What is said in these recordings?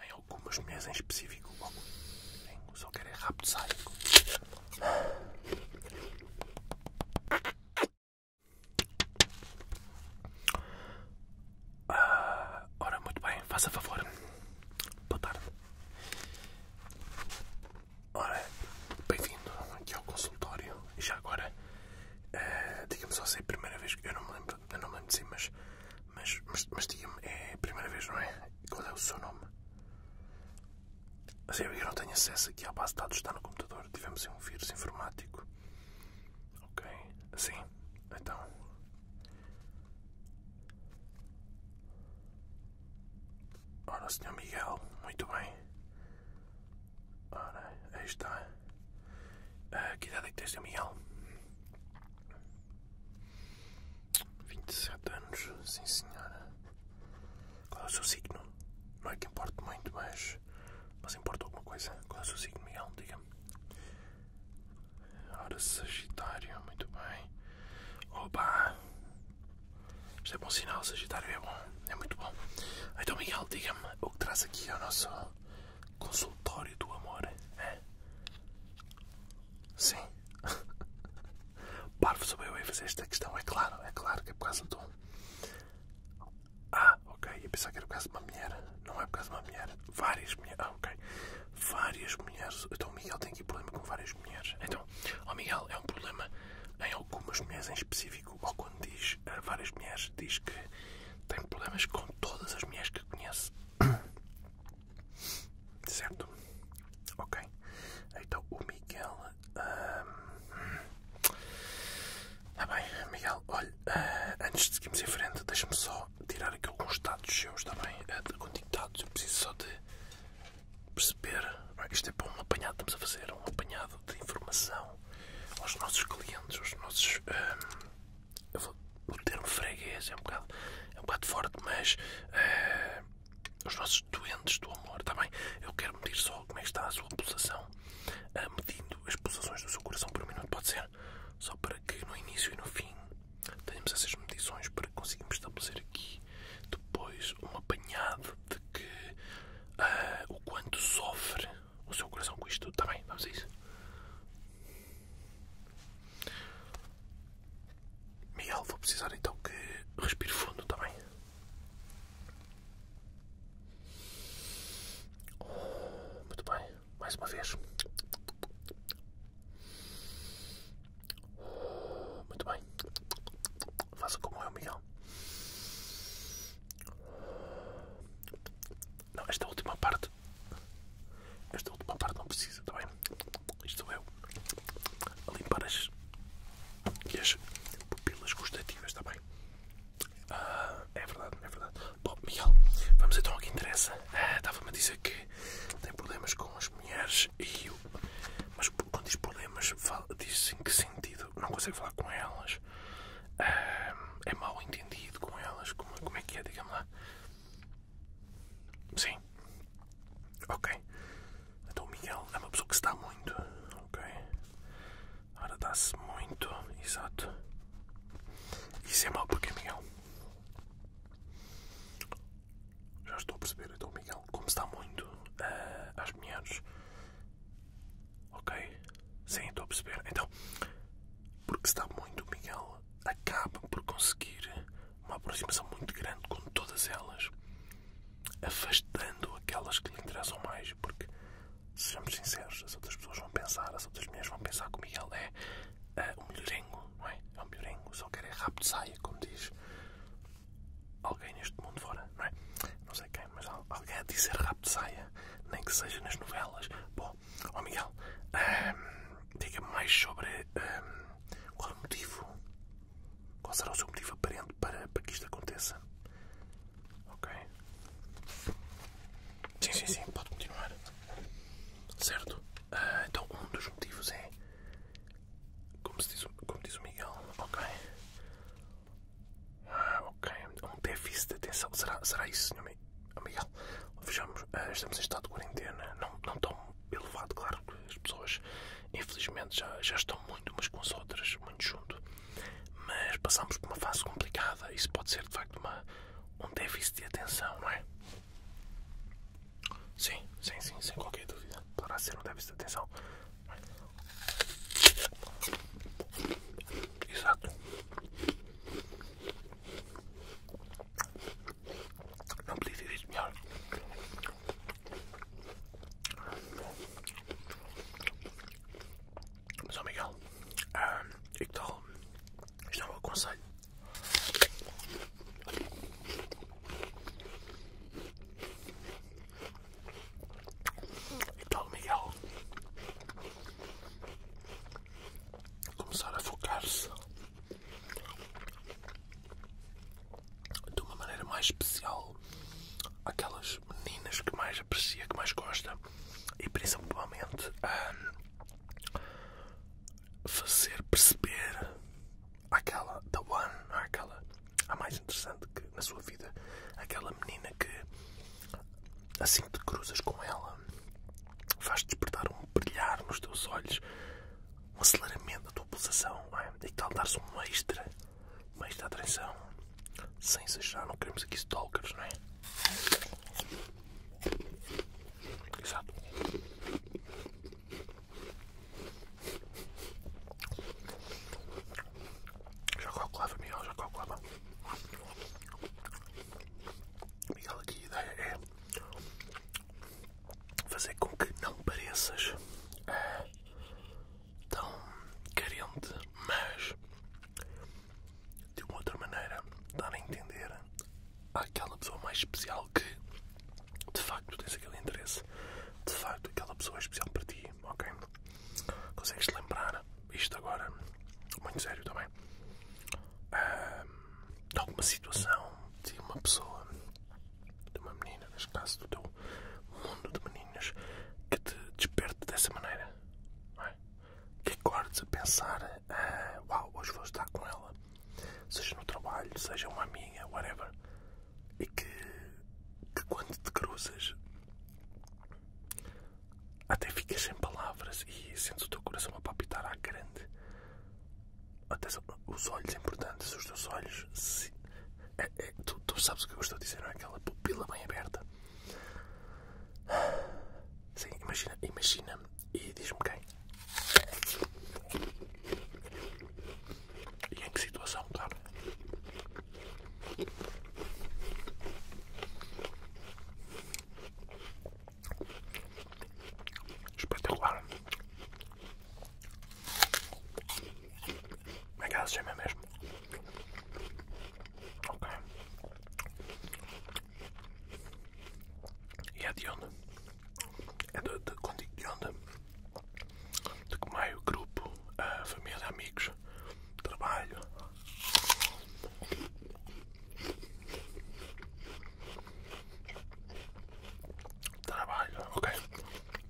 Em algumas mulheres em específico, logo. Eu só quero é rápido sádico. Ah, ora, muito bem, faça favor. Boa tarde. Ora, bem-vindo aqui ao consultório. E já agora, digamos eh, diga-me só se é a primeira vez que eu não me lembro, eu não me lembro de si, mas mas, mas, diga-me, é a primeira vez, não é? Qual é o seu nome? Assim, eu não tenho acesso aqui à base de dados, está no computador. Tivemos um vírus informático. Ok, sim então. Ora, Sr. Miguel, muito bem. Ora, aí está. Uh, que idade é que tens, Sr. Miguel? 27 anos, sim senhora. Qual é o seu signo? Não é que importe muito, mas. Mas importa alguma coisa? Qual é o seu signo, Miguel? Diga-me. Ora, Sagitário, muito bem. Oba! Isto é bom sinal, Sagitário é bom, é muito bom. Então, Miguel, diga-me o que traz aqui ao nosso, Consultório do amor. É? Sim. Parvo sou eu a fazer esta questão, é claro, é claro que é por causa de um. Ah, ok, E pensar que era por causa de uma mulher. Não é por causa de uma mulher. Várias mulheres. Ah, ok. Várias mulheres. Então o Miguel tem aqui problema com várias mulheres. Então, ó oh, Miguel, é um problema em algumas mulheres em específico, ou quando diz eh, várias mulheres, diz que tem problemas com todas as mulheres que que conhece, certo? Ok, então o Miguel. Ah, bem, Miguel, olha, ah, antes de seguirmos em frente, deixe me só tirar aqui alguns dados seus, está bem? Uh, eu preciso só de perceber. Ah, isto é para um apanhado, estamos a fazer um apanhado de informação aos nossos clientes, aos nossos eu vou, meter-me freguês é um bocado, é um bocado forte, mas eh, os nossos doentes do amor, está bem? Eu quero medir só como é que está a sua pulsação, uh, medindo as pulsações do seu coração por minuto, pode ser? Só para que no início e no fim tenhamos essas medições para que consigamos estabelecer aqui depois um apanhado de que eh, o quanto sofre o seu coração com isto tudo, tá bem? Vamos a isso. Miguel, vou precisar então que respire fundo, tá bem? Oh, muito bem, mais uma vez. Oh, muito bem. Faça como eu, Miguel. Não, esta última parte esta última parte não precisa, tá bem? Isto eu é limpar as, as pupilas gustativas, tá bem? Ah, é verdade, é verdade. Bom, Miguel, vamos então ao que interessa. Ah, Estava-me a dizer que tem problemas com as mulheres e eu. Mas quando diz problemas, fala, diz em que sentido? Não consegue falar com elas? Ah, é mal entendido com elas, como, como é que é, digamos lá. Sim. Ok. Então o Miguel é uma pessoa que se dá muito. Ok. Ora dá-se muito. Exato. Isso é mau porque é Miguel. Já estou a perceber, então Miguel, como se dá muito uh, às mulheres, Ok? Sim, estou a perceber. Então, porque está muito, Miguel acaba por conseguir uma aproximação muito grande com todas elas, afastando aquelas que lhe interessam mais, porque, sejamos sinceros, as outras pessoas vão pensar, as outras mulheres vão pensar que o Miguel é uh, é um melhorengo, não é? É um melhorengo, só quer é rápido saia, como diz alguém neste mundo fora, não é? mas alguém a dizer rápido nem que seja nas novelas. Bom, ó Miguel, ehm, diga-me mais sobre ehm, qual é o motivo, qual será o seu motivo aparente para, para que isto aconteça. Ok? Sim, sim, sim, pode continuar. Certo? Ah, então, um dos motivos é. como diz o Miguel, ok? Ah, ok. É um déficit de atenção. Será, será isso, senhor Miguel? Vejamos, ah, estamos em estado de quarentena. Não, não tão elevado, claro que as pessoas, infelizmente, já, já estão muito umas com as outras, muito junto. Mas passamos por uma fase complicada. e Isso pode ser, de facto, uma, um déficit de atenção, não é? Sim, sim, sim, sem qualquer dúvida. Poderá ser um déficit de atenção. Exato. Não podia ter melhor. Mas, oh Miguel, ah, e que tal? Isto é aconselho e tal Miguel, começar a focar-se de uma maneira mais especial aquelas meninas que mais aprecia, que mais gosta e principalmente um, fazer perceber aquela The one, aquela a mais interessante na sua vida, aquela menina que assim que te cruzas com ela, faz despertar um brilhar nos teus olhos, um aceleramento da tua pulsação, é? e tal, dar-se um extra, uma extra atenção, sem exagerar, não queremos aqui stalkers, não é? Exato. Já calculava, Miguel, já calculava. Miguel, aqui a ideia é fazer com que não pareças eh, tão carente, mas de uma outra maneira dar a entender àquela pessoa mais especial que de facto tens aquele interesse, de facto aquela pessoa é especial para ti, ok? Consegues lembrar isto agora? Muito sério também. Tá de alguma situação de uma pessoa, de uma menina, neste caso do teu mundo de meninos que te desperte dessa maneira, é? que acordes a pensar: ah, Uau, hoje vou estar com ela, seja no trabalho, seja uma amiga, whatever, e que, que quando te cruzas até ficas sem palavras e sentes o teu coração a palpitar à grande. Até os olhos importantes, os teus olhos. É, é, tu, sabes o que eu estou a dizer, não é? Aquela pupila bem aberta. Sim, imagina, imagina. E diz-me quem. E em que situação, cara? Espetacular. Como é que ela se chama mesmo? Ok. E é de onde? É de, de onde? de que meio grupo, família, amigos, trabalho. Trabalho, ok.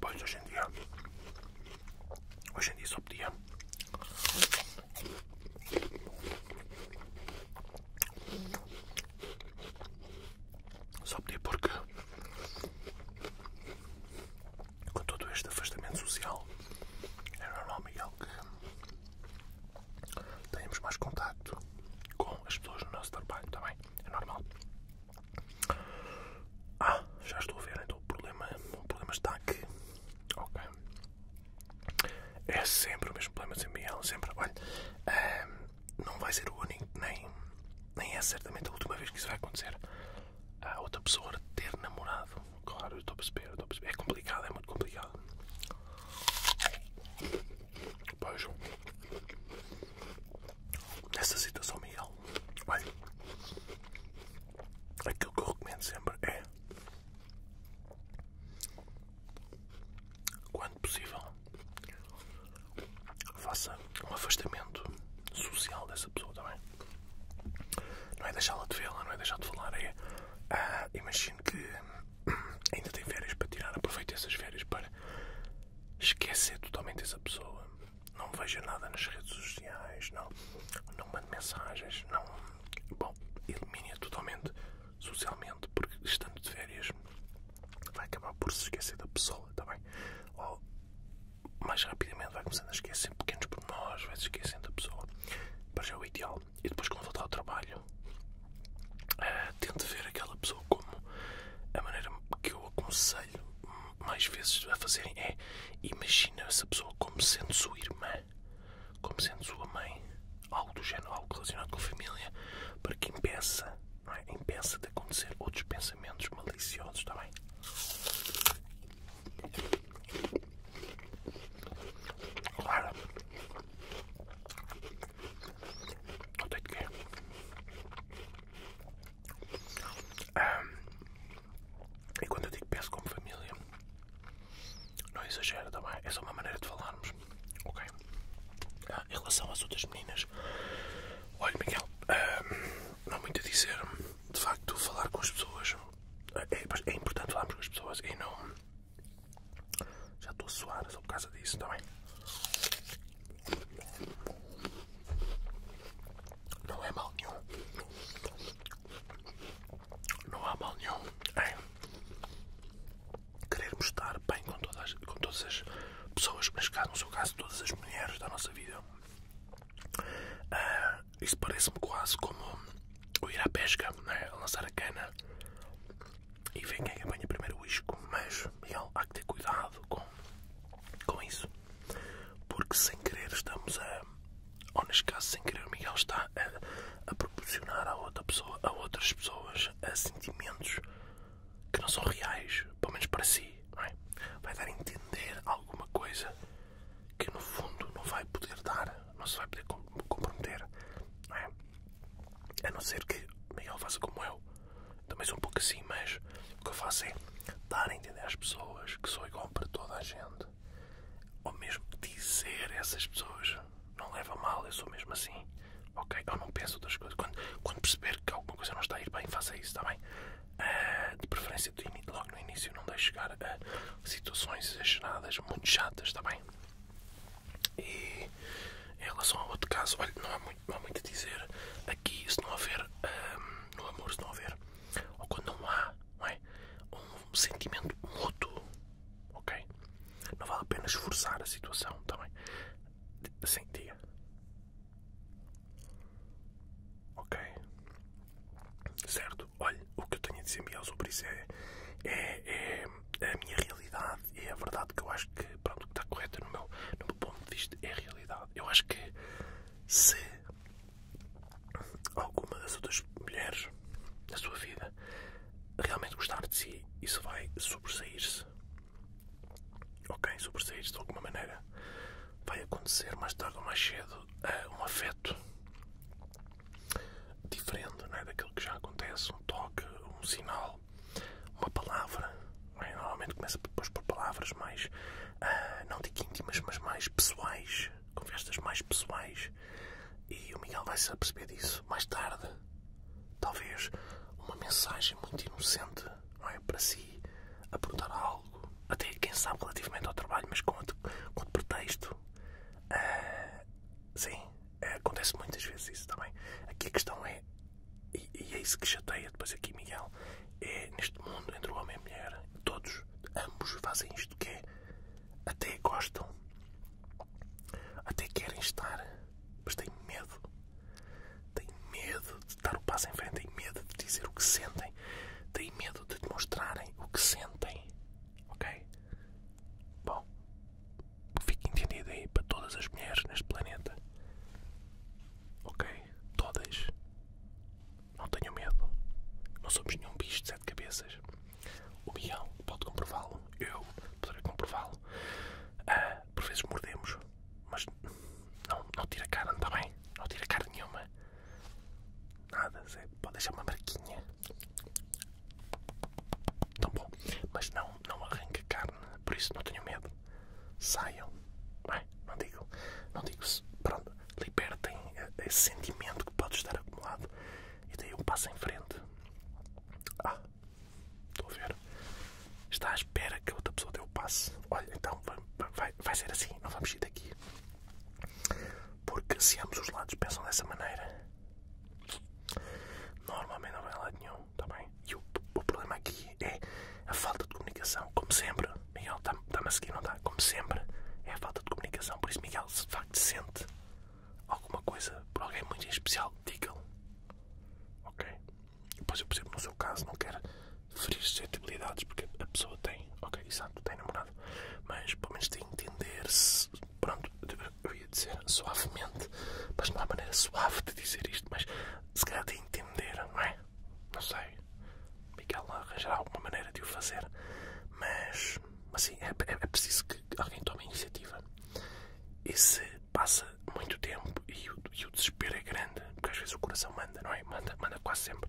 Pois hoje em dia. Hoje em dia só podia. Só podia porque com todo este afastamento social, é normal, Miguel, que tenhamos mais contacto com as pessoas no nosso trabalho, também tá É normal. Ah, já estou a ver, então o problema, o problema está aqui. Ok. É sempre o mesmo problema, sempre, Miguel, sempre. Olha, ehm, não vai ser o único, nem, nem é certamente a última vez que isso vai acontecer a outra pessoa ter namorado. Claro, eu estou a perceber, É complicado, é muito complicado. Pois. Nessa situação, Miguel, olha, aquilo que eu recomendo sempre é, quando possível, faça um afastamento social dessa pessoa também. Tá não é deixá-la de vê-la, não é deixar de falar, é. Ah, imagino que ainda tem férias para tirar, aproveite essas férias para esquecer totalmente essa pessoa. Não veja nada nas redes sociais, não, não mande mensagens, não. Bom, elimine-a totalmente socialmente, porque estando de férias vai acabar por se esquecer da pessoa, está bem? Ou mais rapidamente vai começando a esquecer pequenos pormenores, vai se esquecendo da pessoa. Para já é o ideal. E depois, quando voltar ao trabalho, uh, ver aquela pessoa como a maneira que eu aconselho mais vezes a fazerem é imagina essa pessoa como sendo sua irmã, como sendo sua mãe, algo do género, algo relacionado com a família, para que impeça, não é? impeça de acontecer outros pensamentos pensamentos maliciosos também. Tá claro. Não tenho que. Um, e quando eu digo peço como família, não exagero também. Tá é uma maneira de falarmos. Ok? Ah, em relação às outras meninas, olha, Miguel. Um, não há muito a dizer. De facto, falar com as pessoas é, é, é, importante falarmos com as pessoas e não. Já estou a suar só por causa disso também. Tá não é mal nenhum. Não há mal nenhum em é. querermos estar bem com todas, com todas as pessoas, mas cá no seu caso todas as mulheres da nossa vida. Ah, isso parece-me quase como o ir à pesca, é? a lançar a cana e ver quem é apanha primeiro o isco, mas Miguel, há que ter cuidado com, com isso, porque sem querer estamos a, ou neste caso sem querer Miguel está a, proporcionar a outra pessoa, a outras pessoas, sentimentos que não são reais, pelo menos para si, é? Vai dar a entender alguma coisa que no fundo não vai poder dar, não se vai poder comprometer, é? A não ser que Miguel faça como eu, também sou um pouco assim, mas o que eu faço é dar a entender às pessoas que sou igual para toda a gente, ou mesmo dizer a essas pessoas, não leva mal, eu sou mesmo assim ok? Ou não penso outras coisas. Quando, perceber que alguma coisa não está a ir bem, faça isso, está bem? Ah, de preferência, logo no início, não deixe chegar a situações exageradas, muito chatas, está bem? E em relação ao outro caso, olha, não há muito, não há muito a dizer aqui, se não houver ah, no amor, se não houver, ou quando não há, não é? Um sentimento mútuo, ok? Não vale a pena esforçar a situação, está bem? Assim, diga. Ok? Certo? Olha, o que eu tenho a dizer, Miguel, sobre isso é, é, é a minha realidade e é a verdade que eu acho que, pronto, que está correta no meu, ponto de vista, é a realidade. Eu acho que se alguma das outras mulheres da sua vida realmente gostar de si, isso vai sobressair-se Ok, sobressair de alguma maneira. Vai acontecer mais tarde ou mais cedo é um afeto diferente não é? daquilo que já acontece, um toque, um sinal, uma palavra. É? Normalmente começa depois por palavras mais, ah, não digo íntimas, mas mais pessoais, conversas mais pessoais. E o Miguel vai se aperceber disso mais tarde talvez uma mensagem muito inocente é, para si, apontar algo, até quem sabe relativamente ao trabalho, mas com outro, com outro pretexto. Ah, sim, acontece muitas vezes isso também. Aqui a questão é, e, e é isso que chateia depois aqui, Miguel, é neste mundo entre o homem e a mulher, todos, ambos fazem isto que é, até gostam, até querem estar, mas têm medo têm medo de dar o passo em frente, têm medo de dizer o que sentem, têm medo de demonstrarem o que sentem. Ok? Bom, fique entendido aí para todas as mulheres neste planeta. Ok? Todas. Não tenham medo. Não somos nenhum bicho de sete cabeças. O Guião pode comprová-lo. Eu poderei comprová-lo. Ah, por vezes mordemos, mas não, não tira carne, está bem? Não tira carne nenhuma. Nada, pode deixar uma marquinha. Tão tá bom. Mas não, não arranca carne, por isso não tenho medo. Saiam. não digo. Não digo se. Pronto, libertem esse sentimento que pode estar acumulado. E daí eu passo em frente. Ah, Está à espera que a outra pessoa dê o passe. Olha, então vai, ser assim, não vamos ir daqui. Porque se ambos os lados pensam dessa maneira, normalmente não vai lá nenhum, está E o, problema aqui é a falta de comunicação, como sempre. Miguel, dá me tá a seguir, não dá, tá? Como sempre, é a falta de comunicação. Por isso, Miguel, se de facto sente alguma coisa para alguém muito especial diga-lhe, Ok? Depois eu exemplo, no seu caso, não quero ferir suscetibilidades porque a pessoa tem, ok, exato, tem namorado, mas pelo menos tem entender-se, pronto, eu ia dizer suavemente, mas não há maneira suave de dizer isto, mas se calhar de entender, não é? Não sei. Miguel arranjará alguma maneira de o fazer, mas assim, é, é preciso que alguém tome a iniciativa. E se passa muito tempo e o, desespero é grande, porque às vezes o coração manda, não é? Manda, manda quase sempre.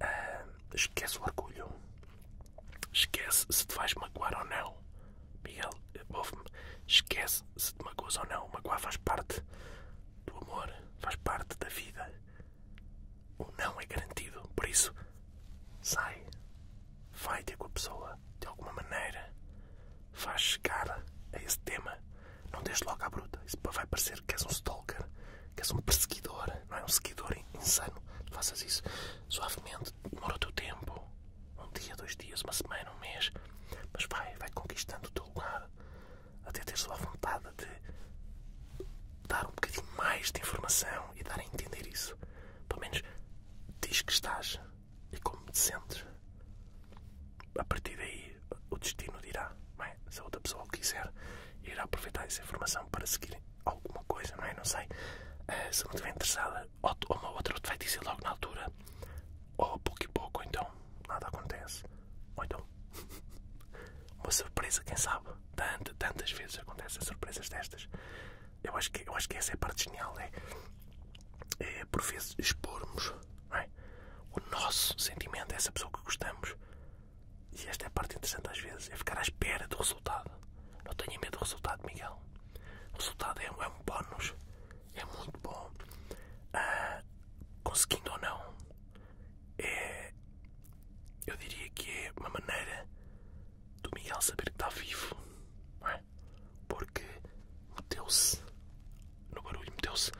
Ah, esquece o orgulho, esquece se te vais magoar ou não. Miguel, ouve-me, esquece se te magoas ou não. Magoar faz parte do amor, faz parte da vida. O não é garantido, por isso sai vai ter com a pessoa, de alguma maneira, faz chegar a esse tema. Não deixe logo à bruta. Isso vai parecer que és um stalker, que és um perseguidor, não é? Um seguidor insano. Faças isso suavemente, demora o teu tempo. Um dia, dois dias, uma semana, um mês. Mas vai, vai conquistando o teu lugar. Até teres a vontade de dar um bocadinho mais de informação e dar a entender isso. Pelo menos diz que estás e como te sentes. A partir daí, o destino dirá, não é? se a outra pessoa quiser, irá aproveitar essa informação para seguir alguma coisa, não é? sei. Eh, se não estiver interessada, ou, uma outra te vai dizer logo na altura, ou pouco e pouco, então nada acontece. Ou então, uma surpresa, quem sabe? tantas vezes acontecem surpresas destas. Eu acho que, eu acho que essa é a parte genial, né? é, por vezes expormos é? o nosso sentimento a essa pessoa que gostamos. E esta é a parte interessante às vezes, é ficar à espera do resultado. Não tenha medo do resultado, Miguel. O resultado é, é um bónus, é muito bom. Ah, conseguindo ou não, é, eu diria que é uma maneira do Miguel saber que está vivo porque meteu-se no barulho, meteu-se,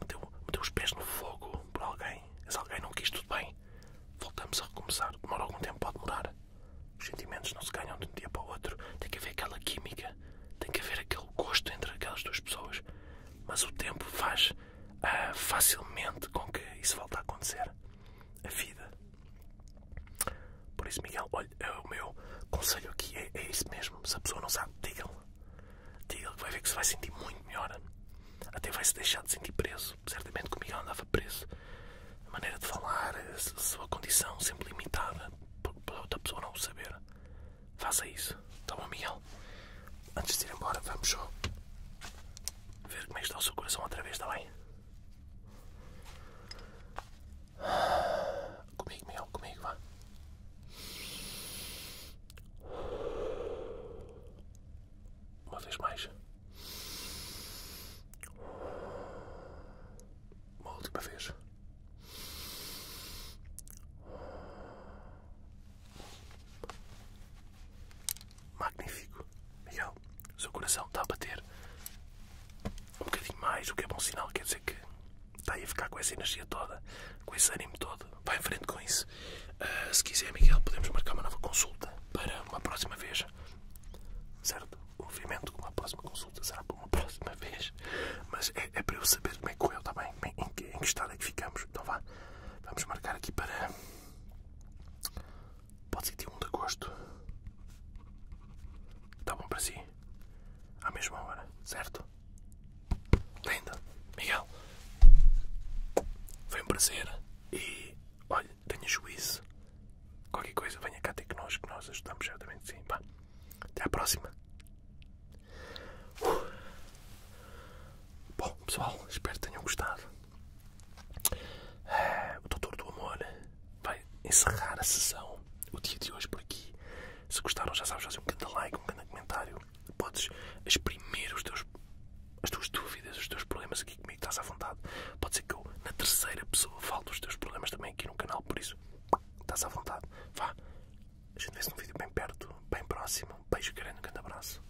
meteu, meteu os pés no fogo por alguém. Se alguém não quis, tudo bem. Voltamos a recomeçar. Demora algum tempo pode demorar. Os sentimentos não se ganham de um dia para o outro. Tem que haver aquela química, tem que haver aquele gosto entre aquelas duas pessoas. Mas o tempo faz ah, facilmente com que isso volte a acontecer. A vida por isso, Miguel, olha, é o meu conselho aqui é, é, isso mesmo. Se a pessoa não sabe, diga-lhe. Diga-lhe que vai ver que se vai sentir muito melhor. Até vai se deixar de sentir preso. Certamente que o Miguel andava preso. A maneira de falar, a sua condição sempre limitada para outra pessoa não o saber. Faça isso. Tá bom, Miguel? Antes de ir embora, vamos ver como é que está o seu coração outra vez, está bem? Comigo, Miguel, comigo, vá. Uma vez mais. Uma última vez. Magnífico. Miguel, o seu coração está a bater um bocadinho mais, o que é bom sinal. Quer dizer que está aí a ficar com essa energia toda, com esse ânimo todo. Vai em frente com isso. Ah, se quiser, Miguel, podemos marcar uma nova consulta para uma próxima vez. Certo? Obviamente, uma próxima consulta será para uma próxima vez. Mas é, é para eu saber como é que eu, está bem? em que estado é que ficamos? Então vá, vamos marcar aqui para. Pode ser dia 1 de agosto. Está bom para si? À mesma hora, certo? Linda, Miguel. Foi um prazer. E olha, tenha juízo. Qualquer coisa, venha cá ter que nós, que nós ajudamos certamente sim. pá. Até à próxima. Uh. Bom, pessoal, espero que tenham gostado. O Doutor do Amor vai encerrar a sessão, o dia de hoje por aqui. Se gostaram, já sabes, fazer um grande like, um grande comentário. Podes exprimir os teus, as tuas dúvidas, os teus problemas aqui comigo, estás à vontade. Pode ser que eu, na terceira pessoa, falo dos teus problemas também aqui no canal, por isso, estás à vontade. Vá, a gente vê-se num vídeo bem perto, bem próximo. Beijo grande, um grande abraço.